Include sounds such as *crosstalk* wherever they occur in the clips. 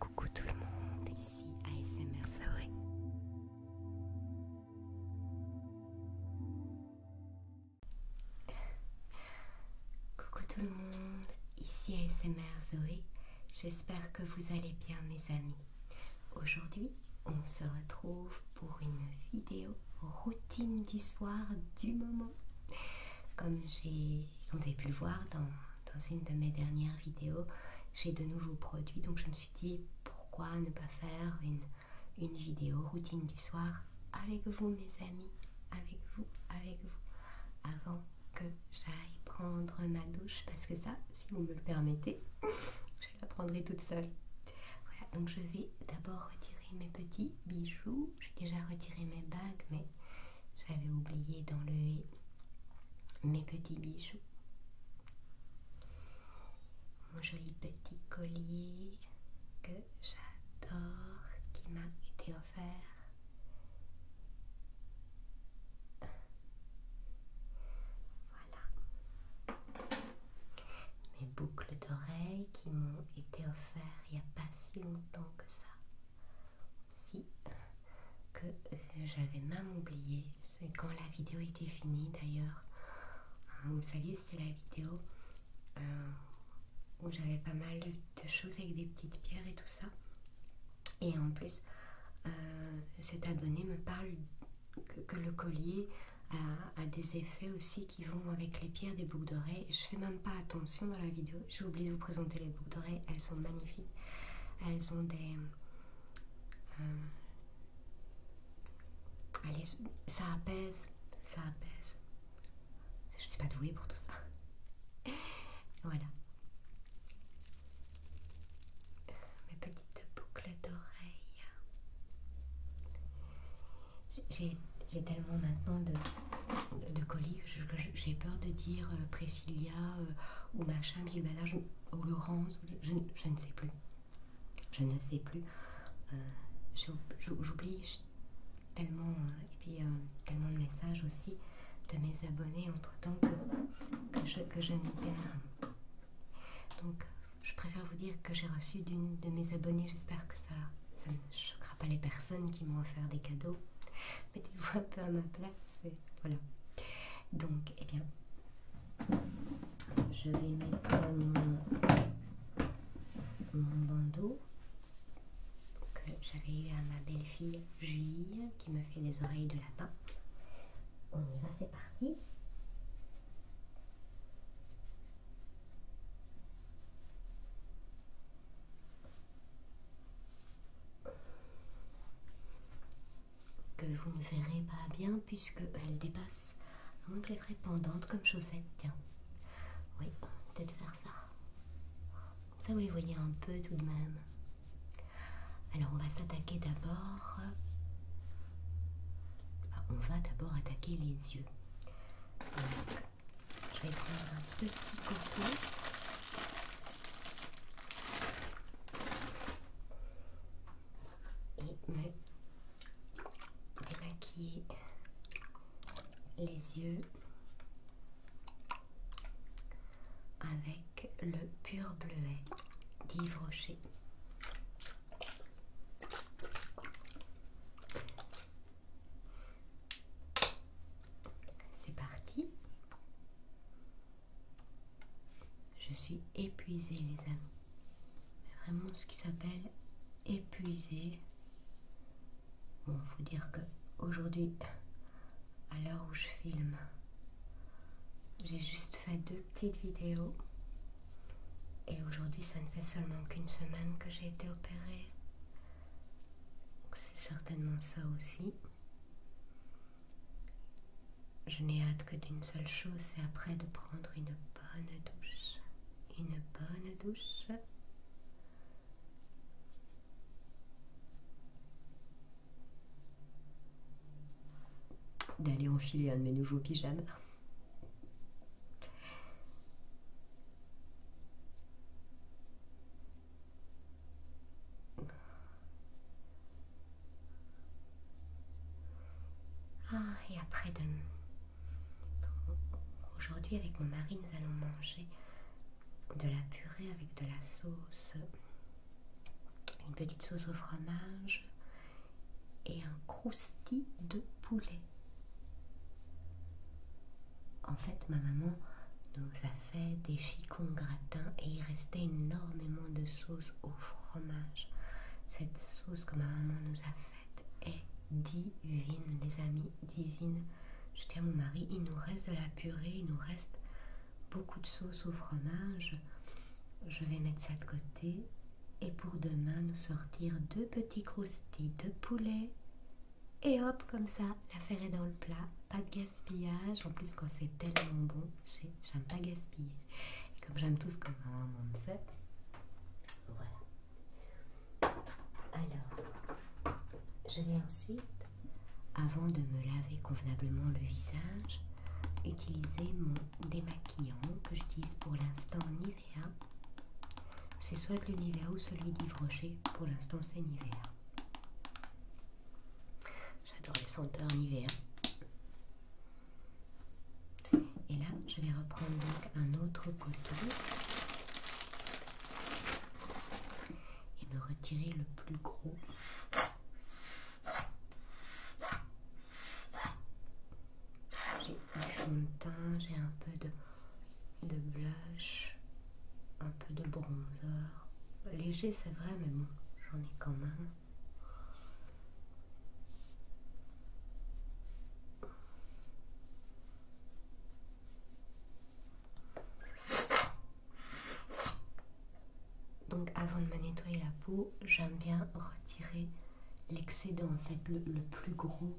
Coucou tout le monde, ici ASMR Zoé. Coucou tout le monde, ici ASMR Zoé. J'espère que vous allez bien mes amis. Aujourd'hui, on se retrouve pour une vidéo routine du soir du moment. Comme j'ai, pu le voir dans dans une de mes dernières vidéos, j'ai de nouveaux produits, donc je me suis dit pourquoi ne pas faire une, vidéo routine du soir avec vous mes amis, avec vous, avec vous, avant que j'aille prendre ma douche, parce que ça, si vous me le permettez, *laughs* je la prendrai toute seule. Voilà, donc je vais d'abord retirer mes petits bijoux, j'ai déjà retiré mes bagues, mais j'avais oublié d'enlever mes petits bijoux. Mon joli petit collier que j'adore, qui m'a été offert. Voilà. Mes boucles d'oreilles qui m'ont été offertes il n'y a pas si longtemps que ça si que j'avais même oublié, c'est quand la vidéo était finie d'ailleurs. Euh, vous saviez, c'était la vidéo euh, où j'avais pas mal de, choses avec des petites pierres et tout ça. Et en plus, euh, cet abonné me parle que, le collier a, des effets aussi qui vont avec les pierres des boucles d'oreilles. Je fais même pas attention dans la vidéo, j'ai oublié de vous présenter les boucles d'oreilles, elles sont magnifiques. Elles ont des. Euh, allez, ça apaise, ça apaise. Je suis pas douée pour tout ça. *laughs* voilà. Mes petites boucles d'oreilles. J'ai tellement maintenant de, colis que j'ai peur de dire euh, Priscilla, euh, ou machin, ben ou Laurence, je, ne sais plus. Je ne sais plus. Euh, j'oublie tellement, euh, et puis euh, tellement de messages aussi de mes abonnés entre temps que, je, que Donc, je préfère vous dire que j'ai reçu d'une de mes abonnés J'espère que ça, ne choquera pas les personnes qui m'ont offert des cadeaux. Mettez-vous un peu à ma place voilà. Donc, eh bien, je vais mettre mon, bandeau que j'avais eu à ma belle-fille Julie qui me fait des oreilles de lapin. On y va, c'est parti que vous ne verrez pas bien elle dépasse, donc les ferai pendantes comme chaussettes, tiens. Oui, peut-être faire ça. ça, vous les voyez un peu tout de même. Alors, on va s'attaquer d'abord... Euh, on va d'abord attaquer les yeux. Donc, je vais prendre un petit coton et me démaquiller les yeux avec le pur bleuet d'Yves Rocher. C'est parti. Je suis épuisée, les amis. Vraiment ce qui s'appelle épuisée. Bon, vous dire que aujourd'hui, à l'heure où je filme, j'ai juste fait deux petites vidéos. Et aujourd'hui, ça ne fait seulement qu'une semaine que j'ai été opérée. C'est certainement ça aussi. Je n'ai hâte que d'une seule chose, c'est après de prendre une bonne douche. Une bonne douche. D'aller enfiler un de mes nouveaux pyjamas. Ah, et après-demain. Aujourd'hui, avec mon mari, nous allons manger de la purée avec de la sauce, une petite sauce au fromage et un crousti de poulet. En fait, ma maman nous a fait des chicons gratins et il restait énormément de sauce au fromage. Cette sauce que ma maman nous a faite est divine, les amis, divine. Je tiens mon mari, il nous reste de la purée, il nous reste beaucoup de sauce au fromage. Je vais mettre ça de côté et pour demain nous sortir deux petits croustis de poulet. Et hop, comme ça, l'affaire est dans le plat. Pas de gaspillage, en plus quand c'est tellement bon. J'aime pas gaspiller. Et comme j'aime tous, ce même un fait, voilà. Alors, je vais ensuite, avant de me laver convenablement le visage, utiliser mon démaquillant que j'utilise pour l'instant Nivea. C'est soit le Nivea ou celui d'Yves Rocher. Pour l'instant, c'est Nivea. J'adore les senteurs en hiver. Et là, je vais reprendre donc un autre couteau. et me retirer le plus gros. J'ai du fond de teint, j'ai un peu de, de blush, un peu de bronzer léger, c'est vrai, mais bon, j'en ai quand même. Donc avant de me nettoyer la peau, j'aime bien retirer l'excédent, en fait, le, le plus gros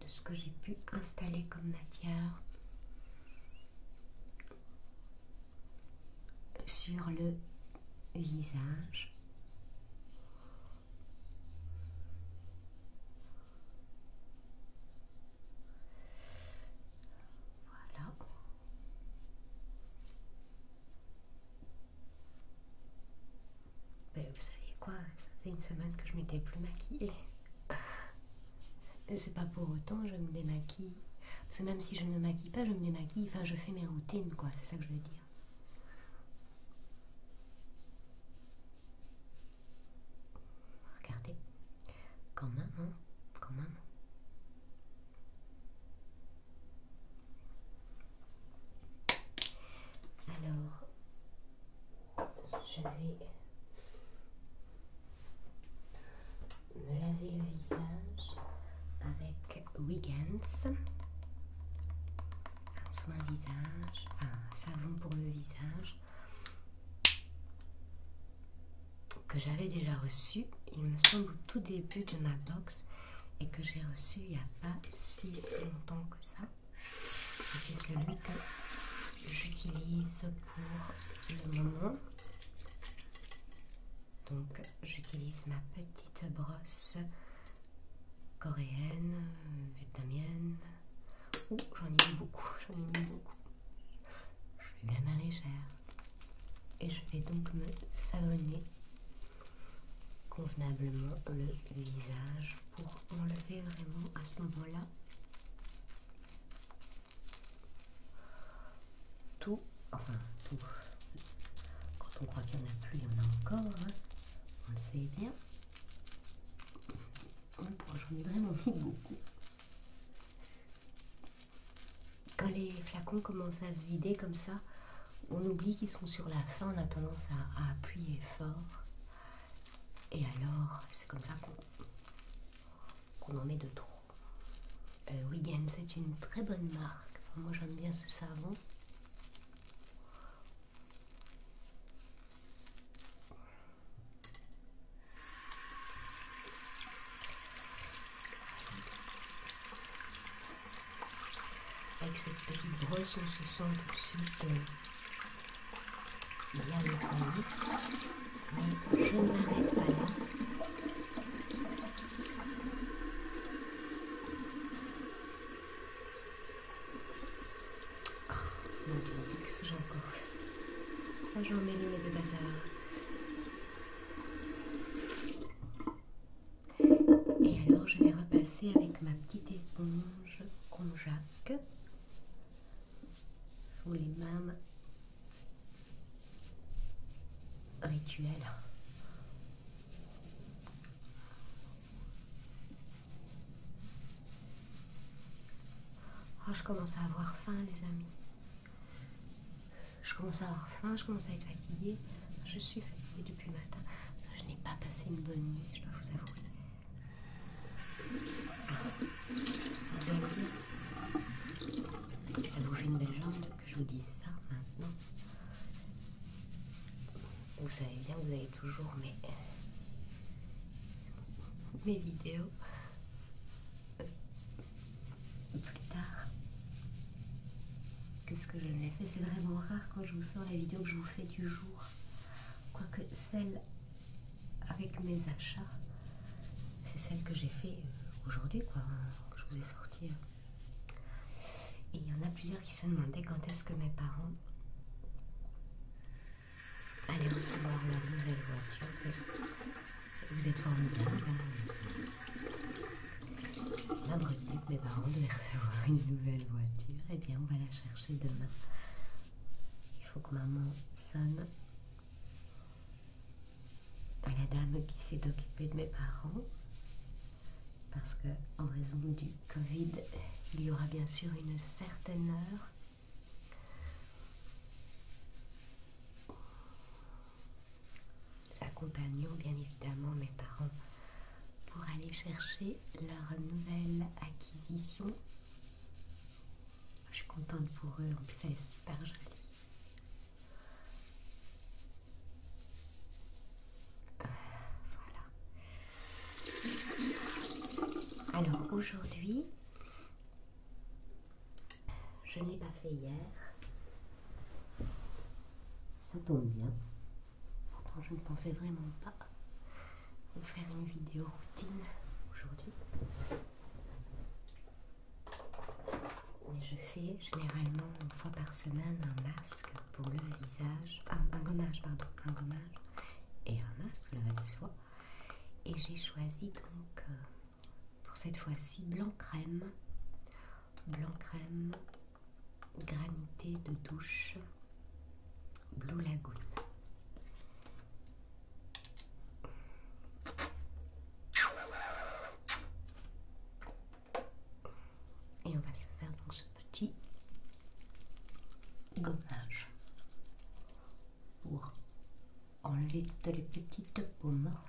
de ce que j'ai pu installer comme matière sur le visage. Voilà. Ben vous savez quoi, ça fait une semaine que je m'étais plus maquillée. *laughs* C'est pas pour autant je me démaquille. Parce que même si je ne me maquille pas, je me démaquille, enfin je fais mes routines, quoi, c'est ça que je veux dire. Regardez, quand même, quand Alors, je vais me laver le visage avec Wiggins. Un soin visage, enfin un savon pour le visage que j'avais déjà reçu, il me semble, au tout début de ma box et que j'ai reçu il n'y a pas si, si longtemps que ça. C'est celui que j'utilise pour le moment. Donc j'utilise ma petite brosse coréenne, vietnamienne. j'en ai beaucoup, *laughs* j'en ai beaucoup. Je suis la main légère. Et je vais donc me savonner convenablement le visage pour enlever vraiment à ce moment-là tout, enfin tout, quand on croit qu'il n'y en a plus, il y en a encore, hein. on le sait bien. J'en ai vraiment *laughs* beaucoup. Quand les flacons commencent à se vider comme ça, on oublie qu'ils sont sur la fin, on a tendance à, à appuyer fort. Et alors, c'est comme ça qu'on qu'on en met de trop. Euh, Wigan, c'est une très bonne marque. moi, j'aime bien ce savon. Avec cette petite brosse, on se sent tout de suite euh, bien nettoyé. Mais je pas là. Oh mon dieu, qu'est-ce que j'ai encore Pourquoi j'ai emmêlé deux bazar. Et alors je vais repasser avec ma petite éponge conjac. sous les mâmes rituel. Oh, je commence à avoir faim, les amis. Je commence à avoir faim, je commence à être fatiguée. Je suis fatiguée depuis le matin. Je n'ai pas passé une bonne nuit, je dois vous avouer. Ah. Ah, ben ça bouge une belle jambe je vous dis ça maintenant. Vous savez bien vous avez toujours mes, euh, mes vidéos. Euh, plus tard que ce que je l'ai fait, c'est vraiment rare quand je vous sors la vidéo que je vous fais du jour. Quoique celle avec mes achats, c'est celle que j'ai fait euh, aujourd'hui, quoi, que je vous ai sorti. Hein. Et il y en a plusieurs qui se demandaient quand est-ce que mes parents allaient recevoir leur nouvelle voiture. Vous êtes formidable. que mes parents devaient recevoir une nouvelle voiture. Eh bien, on va la chercher demain. Il faut que maman sonne la dame qui s'est occupée de mes parents parce que en raison du Covid, il y aura bien sûr une certaine heure accompagnons bien évidemment mes parents pour aller chercher leur nouvelle acquisition. Je suis contente pour eux, en super joli. Voilà. Alors aujourd'hui, je n'ai pas fait hier. Ça tombe bien. Pourtant, je ne pensais vraiment pas vous faire une vidéo routine aujourd'hui je fais généralement une fois par semaine un masque pour le visage, ah, un, gommage pardon, un gommage et un masque, là-bas de soi. Et j'ai choisi donc euh, pour cette fois-ci blanc crème, blanc crème, granité de douche, blue lagoon. Et on va se faire donc ce petit gommage pour enlever toutes les petites peaux mortes.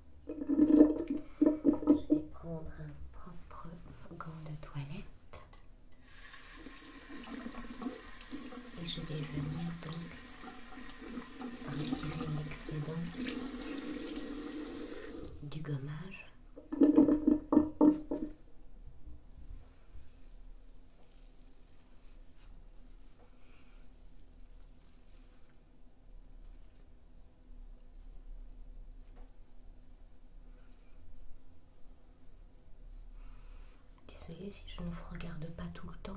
Je vais prendre un propre gant de toilette et je vais venir donc retirer l'excédent du gommage. Désolée si je ne vous regarde pas tout le temps.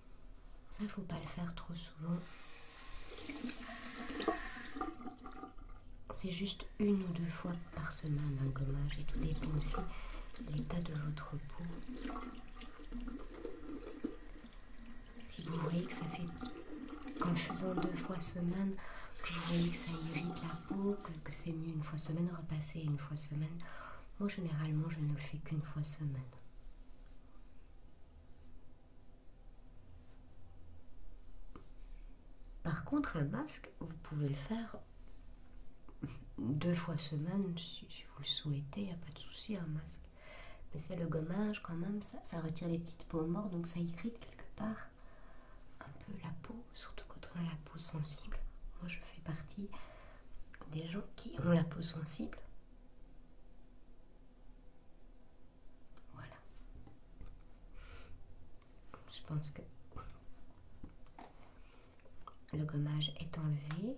Ça, faut pas le faire trop souvent. C'est juste une ou deux fois par semaine un gommage et tout dépend aussi l'état de votre peau. Si vous voyez que ça fait qu'en faisant deux fois semaine, que vous voyez que ça irrite la peau, que, que c'est mieux une fois semaine, repasser une fois semaine. Moi généralement je ne le fais qu'une fois semaine. Par contre, un masque, vous pouvez le faire deux fois semaine si, vous le souhaitez, il n'y a pas de souci, un masque. Mais c'est le gommage quand même, ça, ça retire les petites peaux mortes, donc ça irrite quelque part un peu la peau, surtout quand on a la peau sensible. Moi, je fais partie des gens qui ont la peau sensible. Voilà. Je pense que le gommage est enlevé.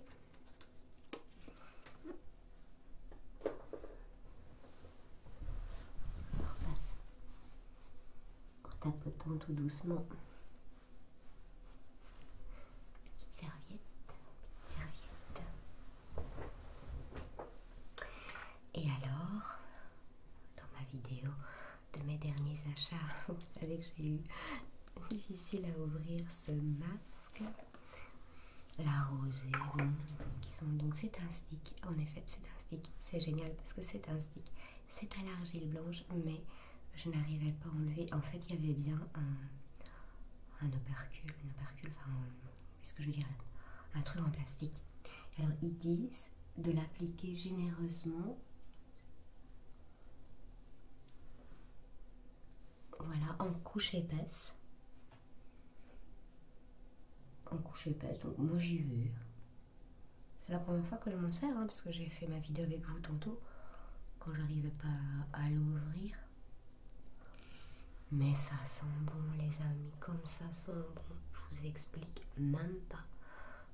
On repasse en tapotant tout doucement. Petite serviette, petite serviette. Et alors, dans ma vidéo de mes derniers achats, vous *laughs* savez que j'ai eu difficile à ouvrir ce masque, la rosée, qui sont donc c'est un stick. En effet, c'est un stick. C'est génial parce que c'est un stick. C'est à l'argile blanche, mais je n'arrivais pas à enlever. En fait, il y avait bien un un opercule, un opercule, enfin, euh, qu'est-ce que je veux Un truc en plastique. Alors, ils disent de l'appliquer généreusement. Voilà, en couche épaisse. En couche épaisse, donc moi j'y vais. C'est la première fois que je m'en sers, hein, parce que j'ai fait ma vidéo avec vous tantôt, quand j'arrivais pas à l'ouvrir. Mais ça sent bon les amis, comme ça sent bon, je vous explique même pas.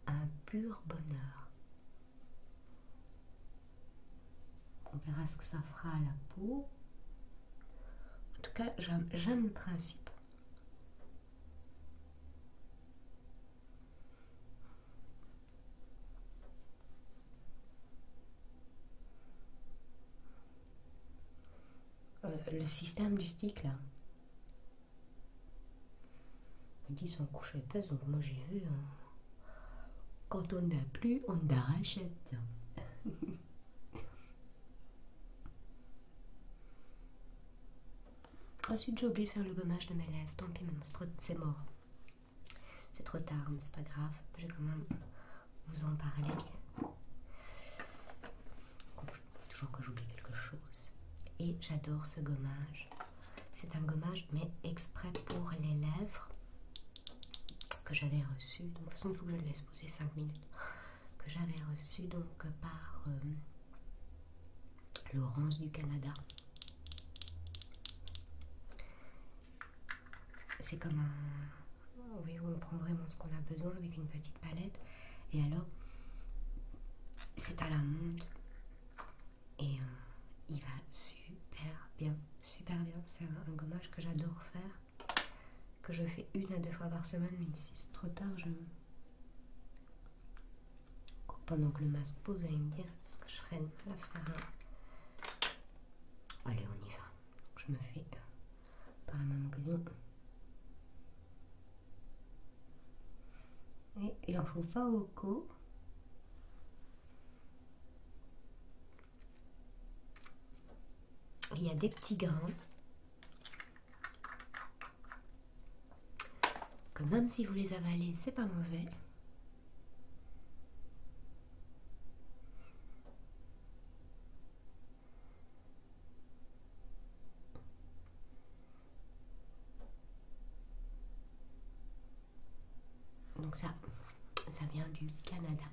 Un pur bonheur. On verra ce que ça fera à la peau. En tout cas, j'aime le principe. Euh, le système du stick là. Ils disent on couche donc moi j'ai vu. Hein. Quand on n'a plus, on darachète *laughs* Ensuite, j'ai oublié de faire le gommage de mes lèvres. Tant pis, maintenant c'est mort. C'est trop tard, mais c'est pas grave. J'ai quand même vous en parler. toujours que j'oublie quelque chose. Et j'adore ce gommage. C'est un gommage, mais exprès pour les lèvres que j'avais reçu. De toute façon, il faut que je le laisse poser 5 minutes. Que j'avais reçu donc par euh, Laurence du Canada c'est comme un. on prend vraiment ce qu'on a besoin avec une petite palette. Et alors, c'est à la montre. Et euh, il va super bien, super bien. C'est un, gommage que j'adore faire, que je fais une à deux fois par semaine. Mais si c'est trop tard, je. Pendant que le masque pose, à allez me dire ce que je ferais de faire. Allez, on y va. je me fais par la même occasion. Et il en faut au cou. Il y a des petits grains. Que même si vous les avalez, c'est pas mauvais. Donc ça, ça vient du Canada.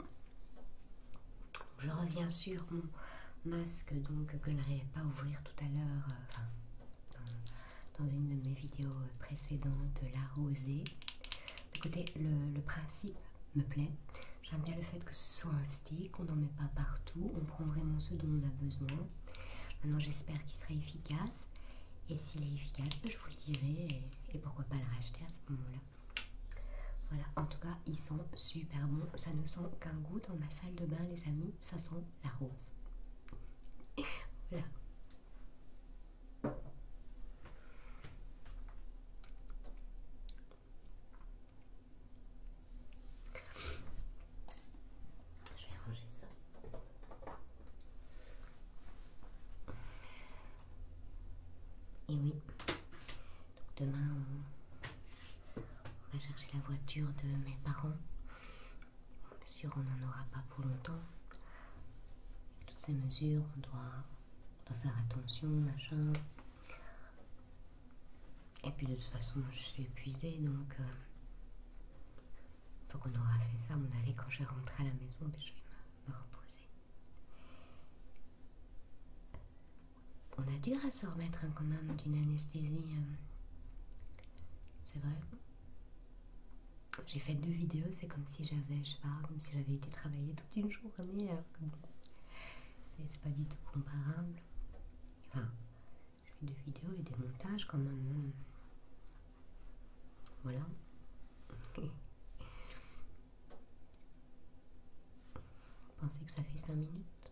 Je reviens sur mon masque donc que je n'arrivais pas ouvrir tout à l'heure, euh, dans, une de mes vidéos précédentes, la rosée. Écoutez, le principe me plaît. J'aime bien le fait que ce soit un stick, on n'en met pas partout, on prend vraiment ce dont on a besoin. Maintenant j'espère qu'il sera efficace. Et s'il est efficace, je vous le dirai et, pourquoi pas le racheter à ce moment-là. Voilà, en tout cas, il sent super bon. Ça ne sent qu'un goût dans ma salle de bain, les amis. Ça sent la rose. *laughs* voilà. Je vais ranger ça. Et oui, donc demain on va chercher la voiture de mes parents. Bien sûr, on n'en aura pas pour longtemps. toutes ces mesures, on doit faire attention, machin. Et puis de toute façon, je suis épuisée, donc euh, faut qu'on aura fait ça, à mon avis, quand je vais à la maison, je vais me, reposer. On a dur à se remettre hein, quand même d'une anesthésie. Euh. c'est vrai. J'ai fait deux vidéos, c'est comme si j'avais, je sais pas, comme si j'avais été travailler toute une journée c'est pas du tout comparable. Enfin, je fais des vidéos et des montages quand même. Hein. Voilà. *laughs* Vous pensez que ça fait 5 minutes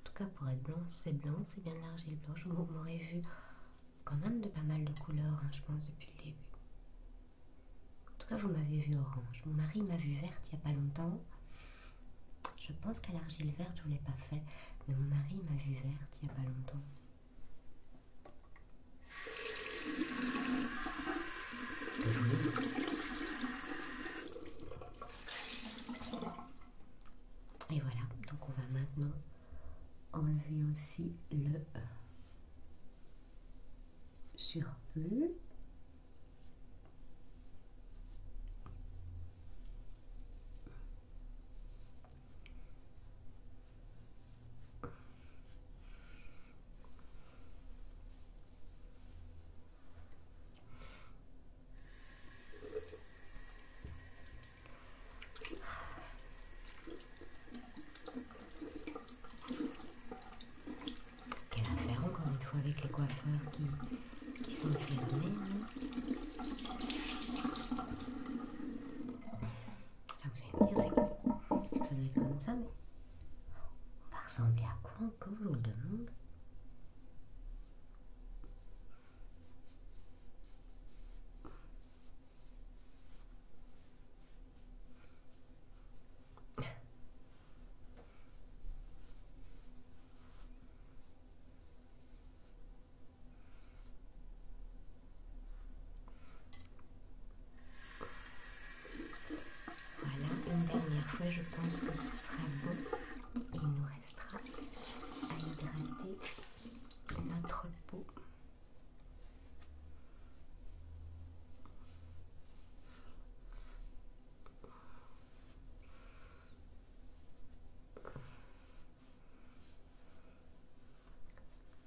En tout cas, pour être blanc, c'est blanc, c'est bien l'argile blanche. Vous m'aurez vu quand même de pas mal de couleurs, hein, je pense, depuis le début. En tout cas, vous m'avez vu orange. Mon mari m'a vu verte il n'y a pas longtemps. Je pense qu'à l'argile verte, je ne l'ai pas fait. Mais mon mari m'a vu verte il n'y a pas longtemps. Et voilà, donc on va maintenant enlever aussi le e sur plus quelle affaire encore une fois avec les coiffeurs qui, sont fermés. Là hein ah, vous allez me dire c'est que ça doit être comme ça, mais on va ressembler à quoi encore je vous le demande voilà, une dernière fois, je pense que ce sera bon. Il nous restera à hydrater notre peau.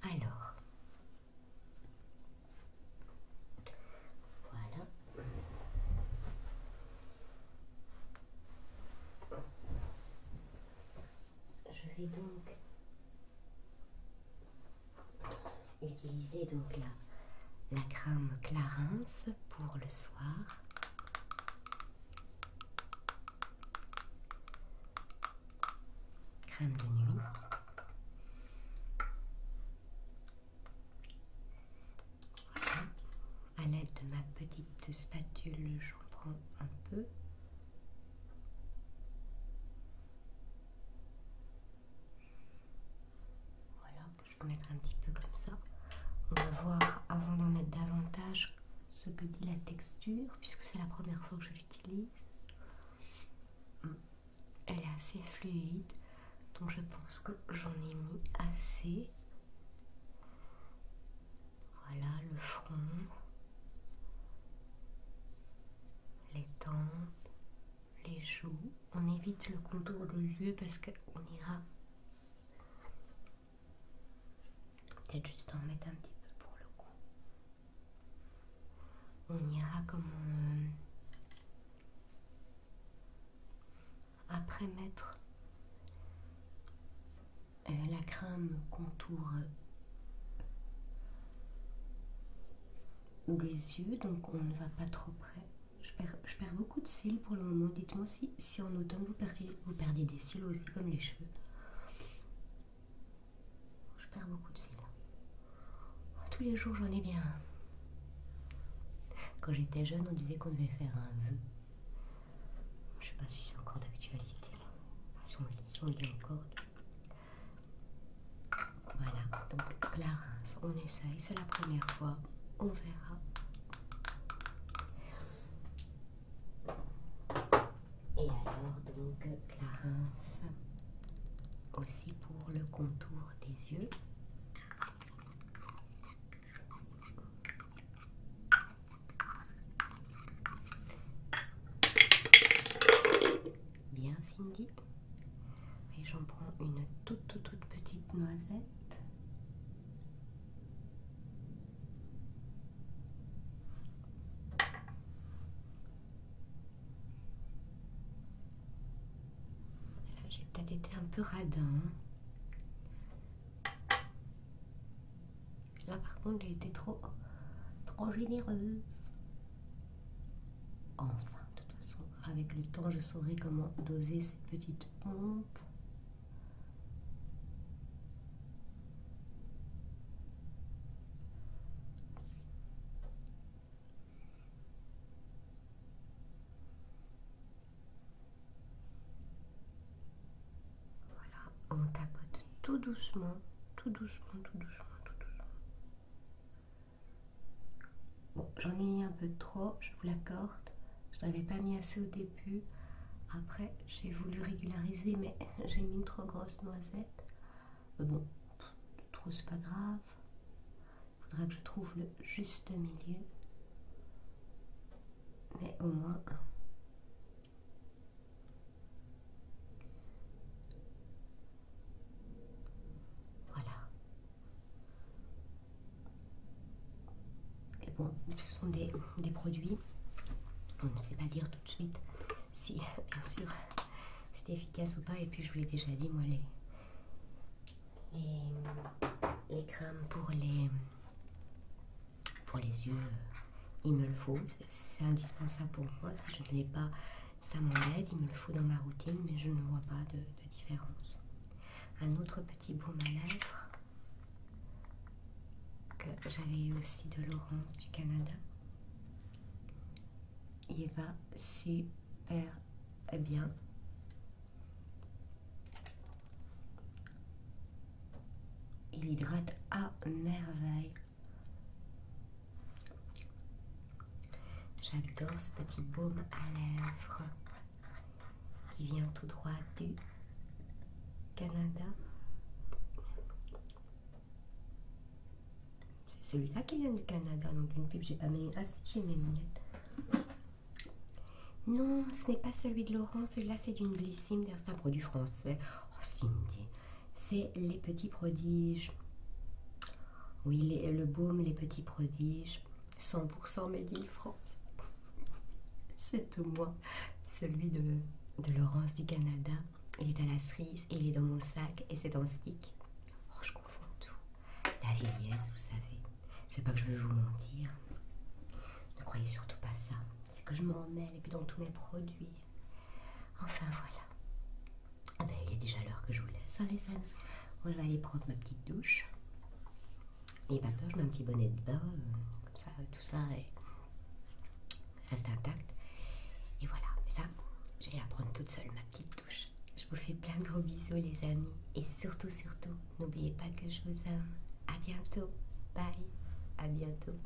Alors, voilà. Je vais donc Utilisez donc la, crème Clarins pour le soir. Crème de nuit. Voilà. À l'aide de ma petite spatule, j'en prends un peu. Voilà, je vais mettre un petit peu comme ça. On va voir avant d'en mettre davantage ce que dit la texture, puisque c'est la première fois que je l'utilise. Elle est assez fluide, donc je pense que j'en ai mis assez. Voilà le front, les tempes, les joues. On évite le contour des yeux parce qu'on ira peut-être juste en mettre un petit peu pour le coup. On ira comme après mettre euh, la crème contour euh, des yeux, donc on ne va pas trop près. Je perds, beaucoup de cils pour le moment. Dites-moi si, si en automne vous perdez, des cils aussi comme les cheveux. Je perds beaucoup de cils. Tous les jours j'en ai bien. Quand j'étais jeune, on disait qu'on devait faire un vœu. Je sais pas si c'est encore d'actualité. encore. Voilà, donc Clarence, on essaye, c'est la première fois, on verra. Et alors donc Clarence, aussi pour le contour des yeux. Bien Cindy. Et j'en prends une toute toute toute petite noisette. Euh, j'ai peut-être été un peu radin. Là par contre j'ai été trop trop généreuse. Enfin, de toute façon, avec le temps, je saurai comment doser cette petite pompe. Voilà, on tapote tout doucement, tout doucement, tout doucement, tout doucement. Bon, j'en ai mis un peu trop, je vous l'accorde. Je n'avais pas mis assez au début. Après, j'ai voulu régulariser, mais *laughs* j'ai mis une trop grosse noisette. bon, trop c'est pas grave. Il faudra que je trouve le juste milieu. Mais au moins... Hein. Voilà, et bon, ce sont des, produits, on ne sait pas dire tout de suite si, bien sûr, c'est efficace ou pas. Et puis, je vous l'ai déjà dit, moi, les, les, crèmes pour les, pour les yeux, euh, il me le faut. C'est indispensable pour moi. je ne l'ai pas, ça m'embête, il me le faut dans ma routine, mais je ne vois pas de, différence. Un autre petit baume à que j'avais eu aussi de Laurence du Canada. Il va super bien. Il hydrate à merveille. J'adore ce petit baume à lèvres qui vient tout droit du Canada. C'est celui-là qui vient du Canada, donc une pub, j'ai pas mes Ah si, j'ai mes lunettes. Non, ce n'est pas celui de Laurent, celui-là c'est d'une Blissime, c'est un produit français. Oh Cindy, c'est les petits prodiges. Oui, le baume, les petits prodiges, 100% Made in France. *laughs* C'est tout moi, celui de, Laurence du Canada. Il est à la cerise il est dans mon sac et c'est dans stick. Oh, je confonds tout. La vieillesse, vous savez. C'est pas que je veux vous mentir. Ne croyez surtout pas ça. C'est que je m'en mêle et puis dans tous mes produits. Enfin voilà. Ah ben, il est déjà l'heure que je vous laisse, hein, les amis. Moi, je vais aller prendre ma petite douche. Et pas peur, je mets un petit bonnet de bain, euh, comme ça, tout ça reste intact. Et voilà, mais ça, je vais prendre toute seule, ma petite douche. Je vous fais plein de gros bisous, les amis. Et surtout, surtout, n'oubliez pas que je vous aime. À bientôt. Bye. À bientôt.